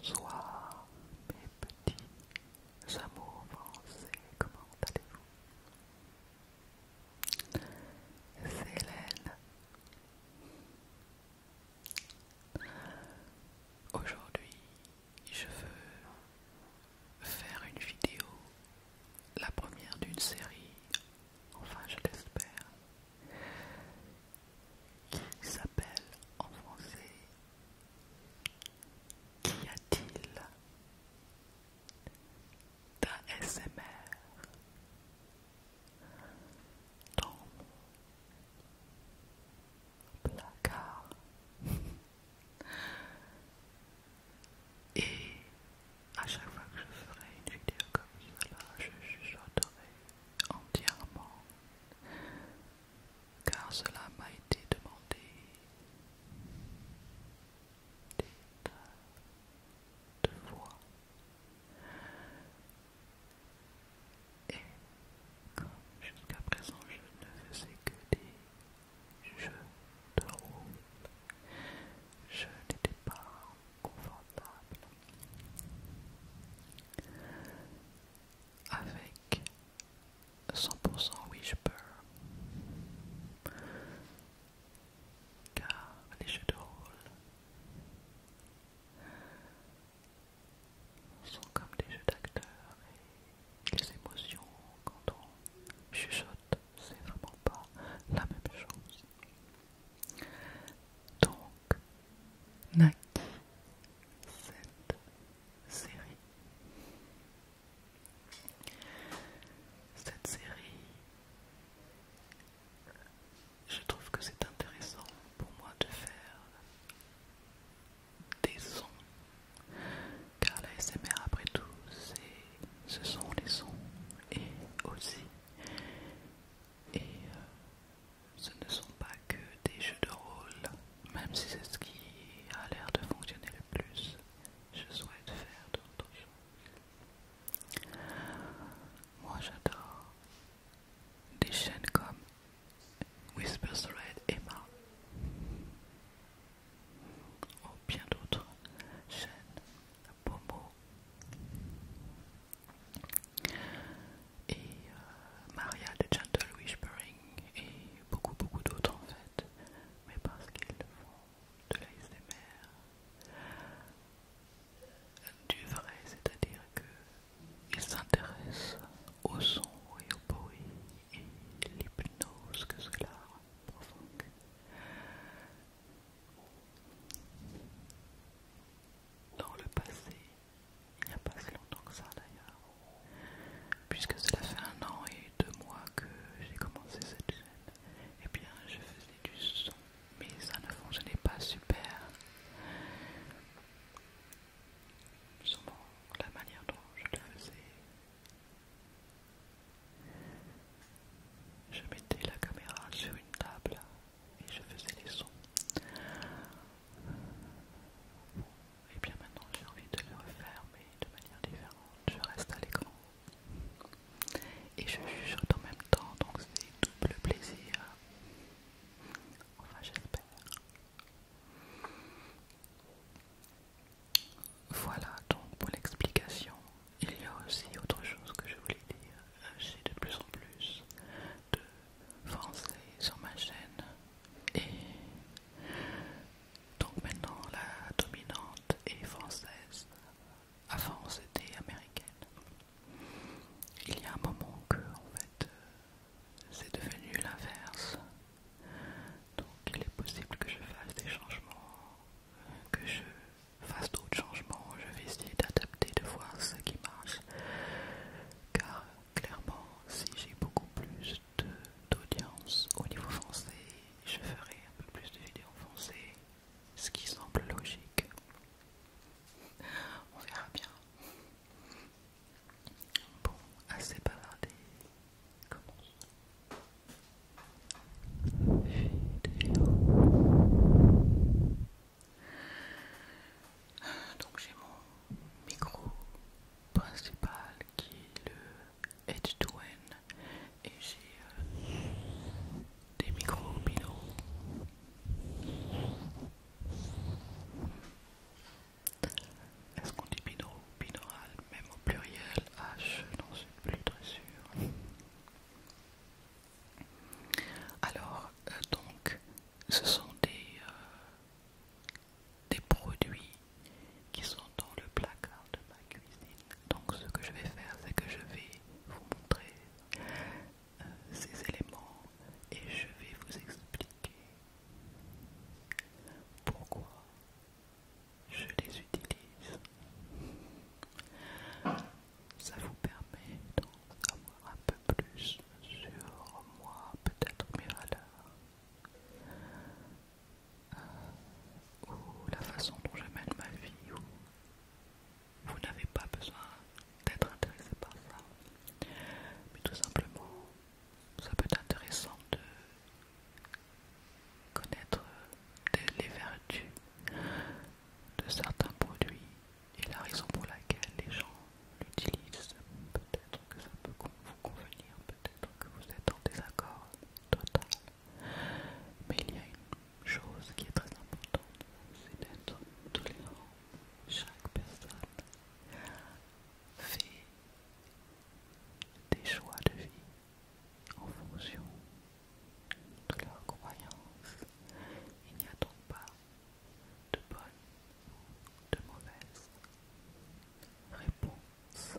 Bonsoir mes petits amours français, comment allez-vous Hélène, Aujourd'hui, je veux faire une vidéo, la première d'une série, enfin je l'espère, qui s'appelle en français Qu'y a-t-il ta dans mon placard et à chaque fois que je ferai une vidéo comme cela je chuchoterai entièrement car cela m'a été demandé de voix et comme jusqu'à présent je ne faisais que des jeux de rôle je n'étais pas confortable avec 100% Whisper car les jeux de rôle sont comme des jeux d'acteurs et les émotions quand on chuchote, c'est vraiment pas la même chose. Donc, naquit cette série. Cette série je trouve que c'est intéressant pour moi de faire des sons, car la SMR après tout, ce sont les sons et aussi, et euh, ce ne sont pas que des jeux de rôle, même si c'est ce qui a l'air de fonctionner le plus. Je souhaite faire d'autres moi j'adore des chaînes comme Whisper Red, Emma ou bien d'autres chaînes Pomo et euh, Maria de Gentle Whispering et beaucoup beaucoup d'autres en fait mais parce qu'ils font de l'ASMR, du vrai, c'est-à-dire qu'il s'intéresse au son et au bruit et l'hypnose que cela provoque. Dans le passé, il n'y a pas si longtemps que ça d'ailleurs, puisque cela fait un an et deux mois que j'ai commencé cette chaîne, et eh bien je faisais du son mais ça ne fonctionnait pas super. Souvent, la manière dont je le faisais. Je mettais la caméra sur une table et je faisais les sons. et bien maintenant j'ai envie de le refaire, mais de manière différente. Je reste à l'écran et je chuchote en même temps, donc c'est double plaisir. Enfin, j'espère. Voilà donc pour l'explication. Il y a aussi autre chose que je voulais dire. J'ai de plus en plus de français sur ma chaîne. Et donc maintenant la dominante est française avant c'était américaine. Il y a un moment que en fait euh, c'est devenu l'inverse. Donc il est possible que je fasse des changements, euh, que je fasse d'autres changements, je vais essayer d'adapter, de voir ce qui marche. Car clairement, si j'ai beaucoup plus d'audience au niveau français, je ferai un peu plus de vidéos en français ce qui semble logique. On verra bien. Bon, assez bavardé. Commence. Vidéo. Donc j'ai mon micro principal qui est le Edge 2 N et j'ai euh, des micro-binaux. est-ce qu'on dit ou binaural même au pluriel H non, suis plus très sûr alors euh, donc ce sont des euh, des produits qui sont dans le placard de ma cuisine donc ce que je vais faire, c'est que je vais vous montrer euh, ces éléments et je vais vous expliquer pourquoi je les utilise. Ça vous permet d'en savoir un peu plus sur moi, peut-être mes valeurs. Euh, ou la façon dont je mène ma vie, vous n'avez pas besoin d'être intéressé par ça. Mais tout simplement, ça peut être intéressant de connaître les vertus de certains produits et la raison pour laquelle les gens l'utilisent. Peut-être que ça peut vous convenir, peut-être que vous êtes en désaccord total mais il y a une chose qui est très importante, c'est d'être tolérant. Chaque personne fait des choix de vie en fonction de leurs croyances. Il n'y a donc pas de bonne ou de mauvaise réponse.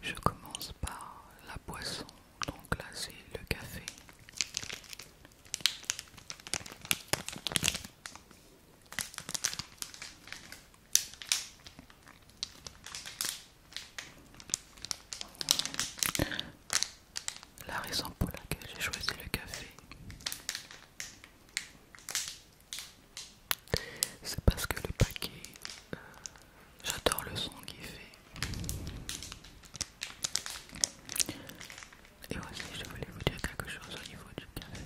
Je commence par la boisson, donc là c'est le café. La raison pour laquelle j'ai choisi le café, c'est parce que le paquet, euh, j'adore le son qu'il fait. Et aussi, je voulais vous dire quelque chose au niveau du café.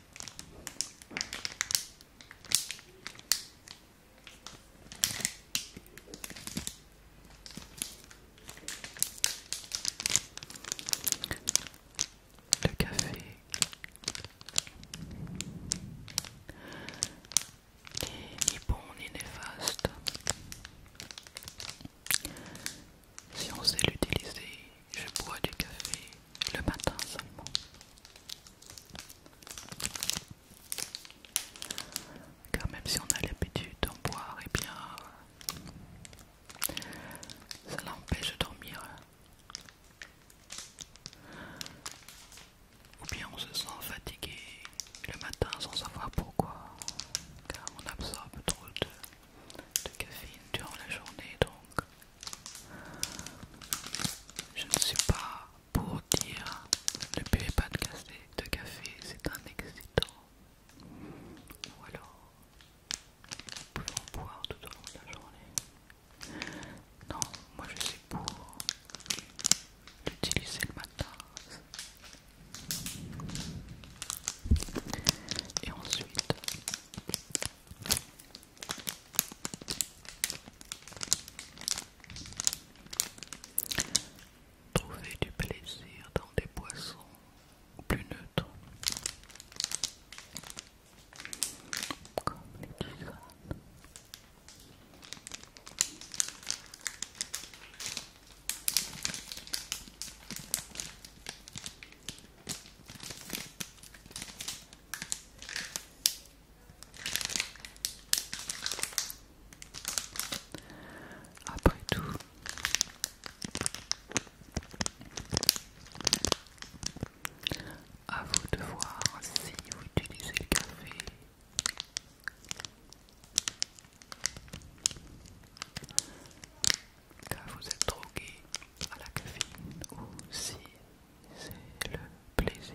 Le café ni bon ni néfaste. Si on sait l'utiliser, je bois du café le matin seulement. Car même si on a l'habitude d'en boire, et eh bien, ça euh, l'empêche de dormir ou bien on se sent fatigué le matin sans savoir pourquoi, car on absorbe trop de, caféine durant la journée. Donc, je ne suis pas pour dire ne buvez pas de café, de café c'est un excitant. Ou alors, nous en boire tout au long de la journée. Non, moi je suis pour utiliser le matin. Et ensuite, trouver du plaisir dans des boissons plus neutres, comme les après tout, à vous de voir si vous utilisez le café car vous êtes drogué à la caféine ou si c'est le plaisir.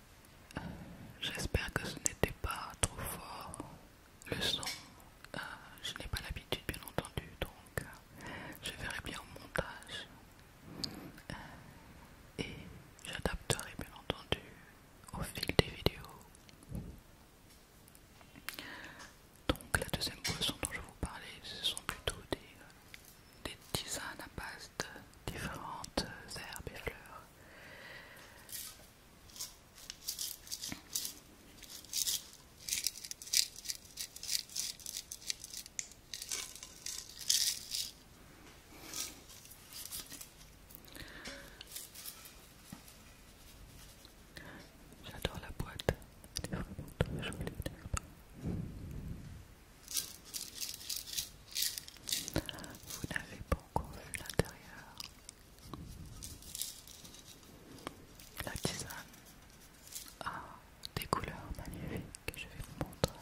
J'espère que ce n'était pas trop fort le son. Euh, je n'ai pas l'habitude, bien entendu, donc euh, je verrai bien au montage. Euh, et j'adapterai, bien entendu, au fil des vidéos. Donc, la deuxième boisson dont je vais vous parler ce sont plutôt des, des tisanes à base de différentes herbes et fleurs. J'adore la boîte, elle est vraiment très jolie. Vous n'avez pas encore vu l'intérieur, la tisane a des couleurs magnifiques que je vais vous montrer.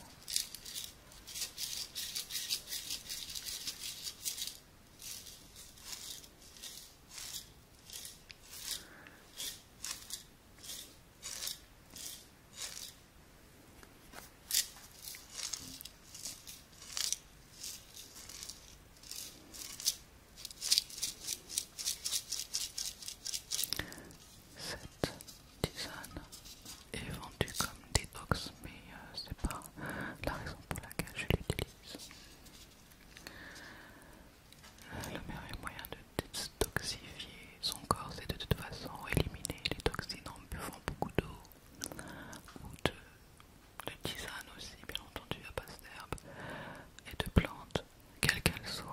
Cette tisane est vendue comme détox, mais euh, c'est pas la raison pour laquelle je l'utilise. Le meilleur moyen de détoxifier son corps, c'est de toute façon éliminer les toxines en buvant beaucoup d'eau ou de de tisane aussi, bien entendu, à base d'herbes et de plantes, quelles qu'elles soient.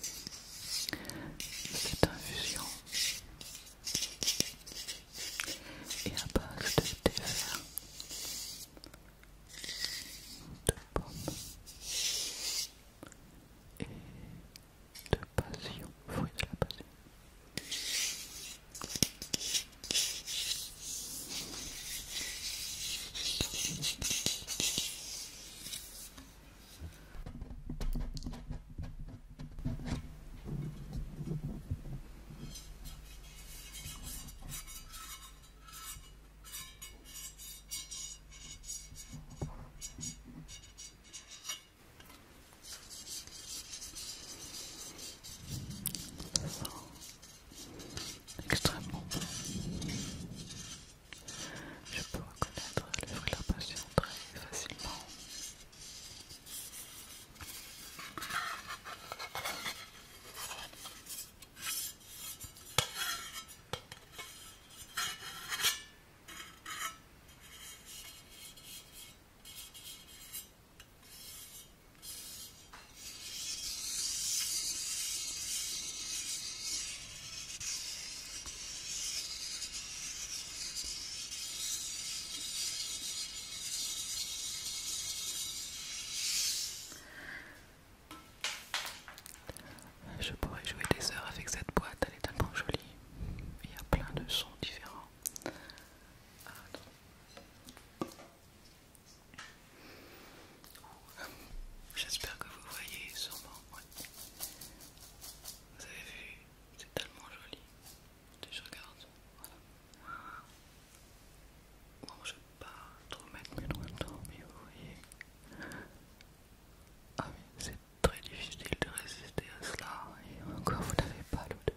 Cette infusion est à base de thé vert, de pommes et de passion, fruit de la passion. Ça extrêmement je peux reconnaître le fruit de la passion très facilement. Je pourrais jouer des heures avec cette boîte, elle est tellement jolie. Il y a plein de sons différents. J'espère que vous voyez sûrement. Vous avez vu C'est tellement joli. Je regarde. Voilà. Bon, je vais pas trop mettre mes doigts dedans, mais vous voyez. Ah mais c'est très difficile de résister à cela. Et encore, vous n'avez pas l'odeur.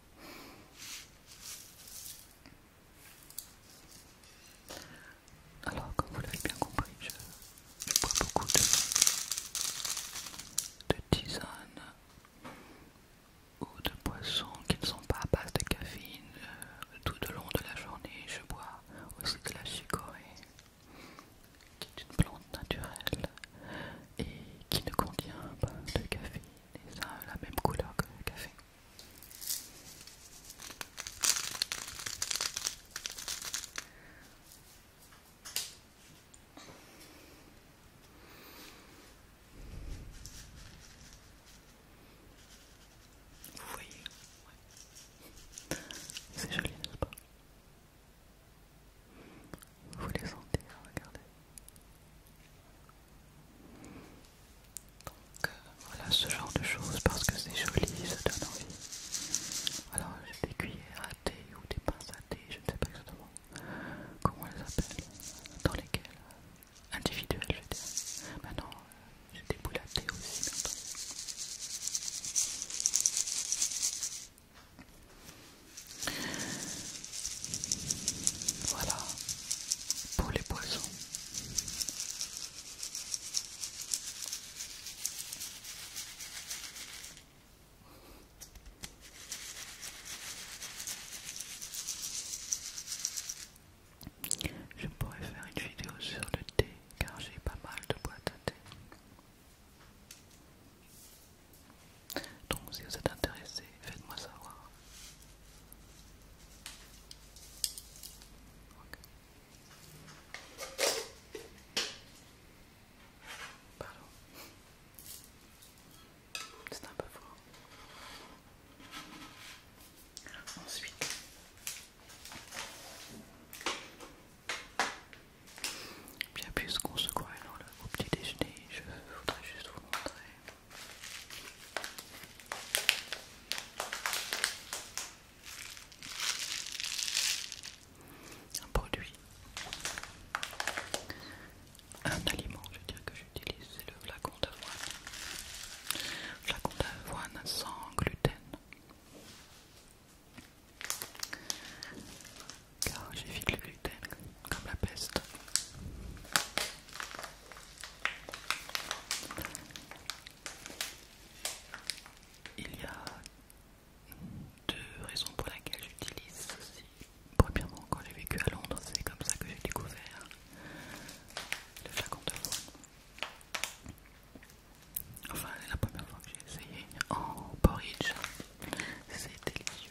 Alors, comme vous l'avez bien compris, je, bois beaucoup de, tisanes tisane ou de poissons qui ne sont pas à base de caféine. Euh, tout au long de la journée, je bois aussi de la chicorée, qui est une plante naturelle et qui ne contient pas de café et a la même couleur que le café. Vous voyez oui C'est joli, n'est-ce pas vous les sentez, hein, regardez. Donc euh, voilà ce genre de choses parce que c'est joli, ça donne envie. Alors j'ai des cuillères à thé ou des pinces à thé, je ne sais pas exactement comment elles s'appellent, dans lesquelles euh, individuelles je dire. Maintenant euh, j'ai des boules à thé aussi voilà pour les poissons. Je pourrais faire une vidéo sur le thé car j'ai pas mal de boîtes à thé. Donc si vous êtes intéressé, faites-moi savoir. C'est un peu fort. Ensuite, bien plus qu'on se croit au petit déjeuner. Je voudrais juste vous montrer. Un produit, un aliment, je veux dire que j'utilise, c'est le flacon d'avoine. Flacon d'avoine sans gluten car j'évite le gluten comme la peste. Il y a deux raisons pour laquelle j'utilise ceci. Premièrement, quand j'ai vécu à Londres, c'est comme ça que j'ai découvert le flacon de foie. Enfin, la première fois que j'ai essayé en porridge, c'est délicieux.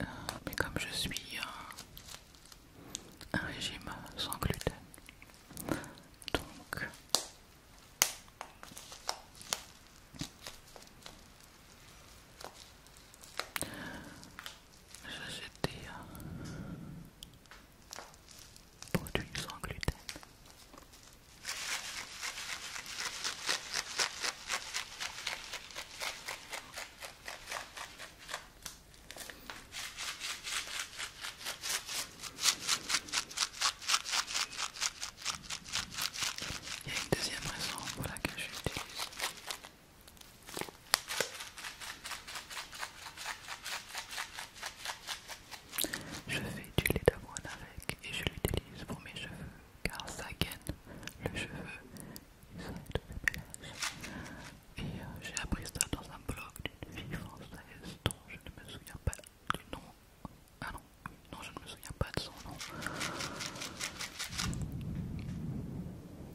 Euh, mais comme je suis un régime sans gluten, donc j'étais été. Euh, pour du sans gluten. Il y a une deuxième raison pour laquelle je je fais du lait d'avoine avec et je l'utilise pour mes cheveux car ça gaine le cheveu et ça aide le Et j'ai appris ça dans un blog d'une fille française dont je ne me souviens pas du nom. Ah non, non je ne me souviens pas de son nom.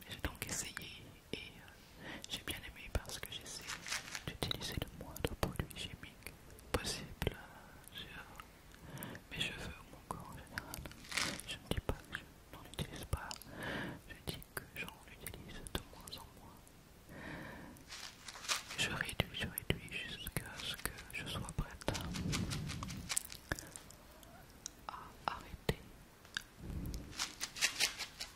J'ai donc essayé et euh, j'ai bien aimé parce que j'essaie d'utiliser le moins de produits chimiques possible mais je veux mon corps en général. Je ne dis pas que je n'en utilise pas, je dis que j'en utilise de moins en moins. Je réduis, je réduis jusqu'à ce que je sois prête à arrêter.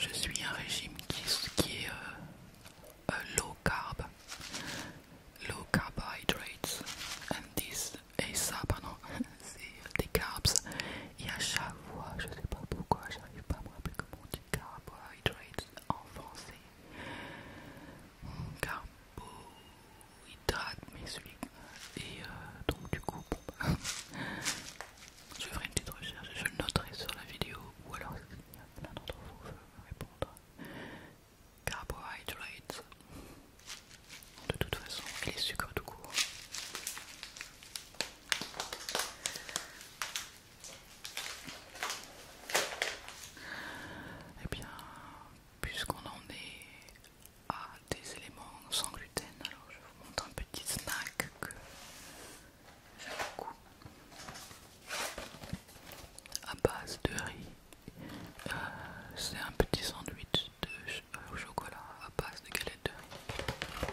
Je suis un régime qui, est euh, euh, low carb, low carbohydrates, and this, et ça, pardon, c'est des carbs. Et à chaque fois, je sais pas pourquoi, j'arrive pas à me rappeler comment on dit carbohydrates en français carbohydrates, mais celui et euh, donc du coup, bon, bah, je ferai une petite recherche, je le noterai sur la vidéo, ou alors il y a plein d'entre vous veulent répondre. Carbohydrates, de toute façon, et les sucres du coup. Et eh bien, puisqu'on en est à des éléments sans gluten, alors je vous montre un petit snack que j'aime beaucoup à base de riz. Euh, c'est un petit sandwich de euh, chocolat à base de galettes de riz.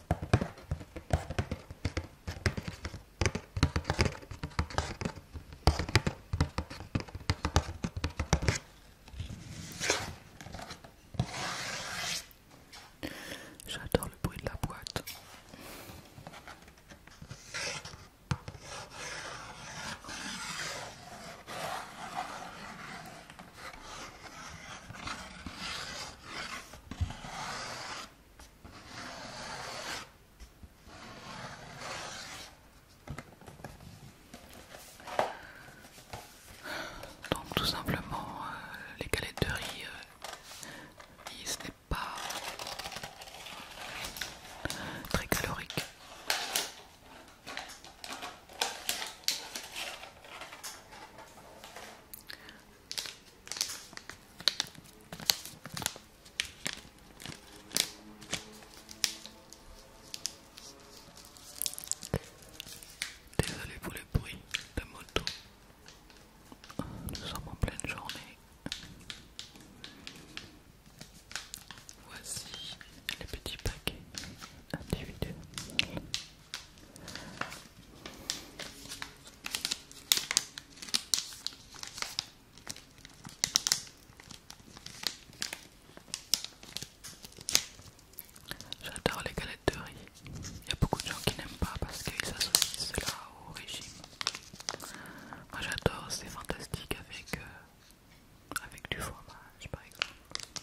J'adore le bruit de la boîte. Donc tout simplement euh, les galettes de euh, riz, n'est pas très calorique. Désolé pour le bruit de moto. Nous sommes en pleine journée. Voici les petits paquets individuels. J'adore les galettes de riz. Il y a beaucoup de gens qui n'aiment pas parce qu'ils associent cela au régime. Moi j'adore, c'est fantastique avec, euh, avec du fromage par exemple.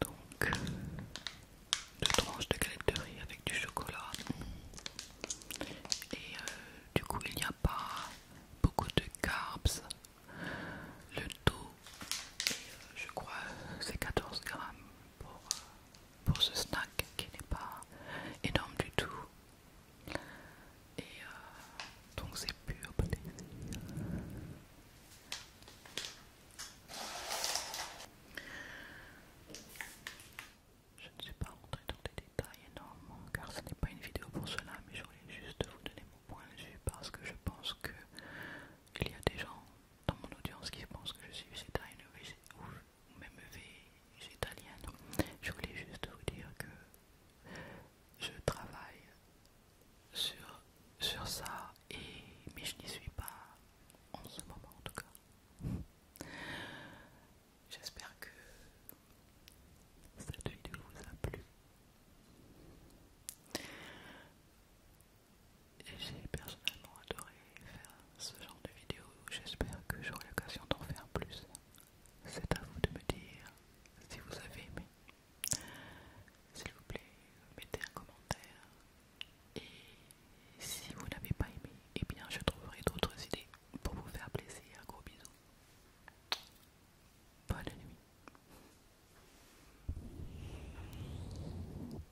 Donc, deux tranches de galette avec du chocolat. Et euh, du coup, il n'y a pas beaucoup de carbs. Le dos, euh, je crois, c'est 14 grammes pour euh, pour ce snack qui n'est pas énorme du tout. Et euh, donc c'est pur Je ne suis pas rentrée dans des détails énormément car ce n'est pas une vidéo pour cela, mais je voulais juste vous donner mon point de vue parce que je pense que il y a des gens dans mon audience qui pense que je suis italienne ou même végétalienne. Je voulais juste vous dire que je travaille sur, sur ça, et, mais je n'y suis pas en ce moment en tout cas. J'espère que cette vidéo vous a plu j'ai personnellement adoré faire ce genre de vidéo. J'espère que j'aurai l'occasion d'en faire plus. C'est à vous de me dire si vous avez aimé. S'il vous plaît, mettez un commentaire. Et si vous n'avez pas aimé, eh bien je trouverai d'autres idées pour vous faire plaisir. Gros bisous. Bonne nuit.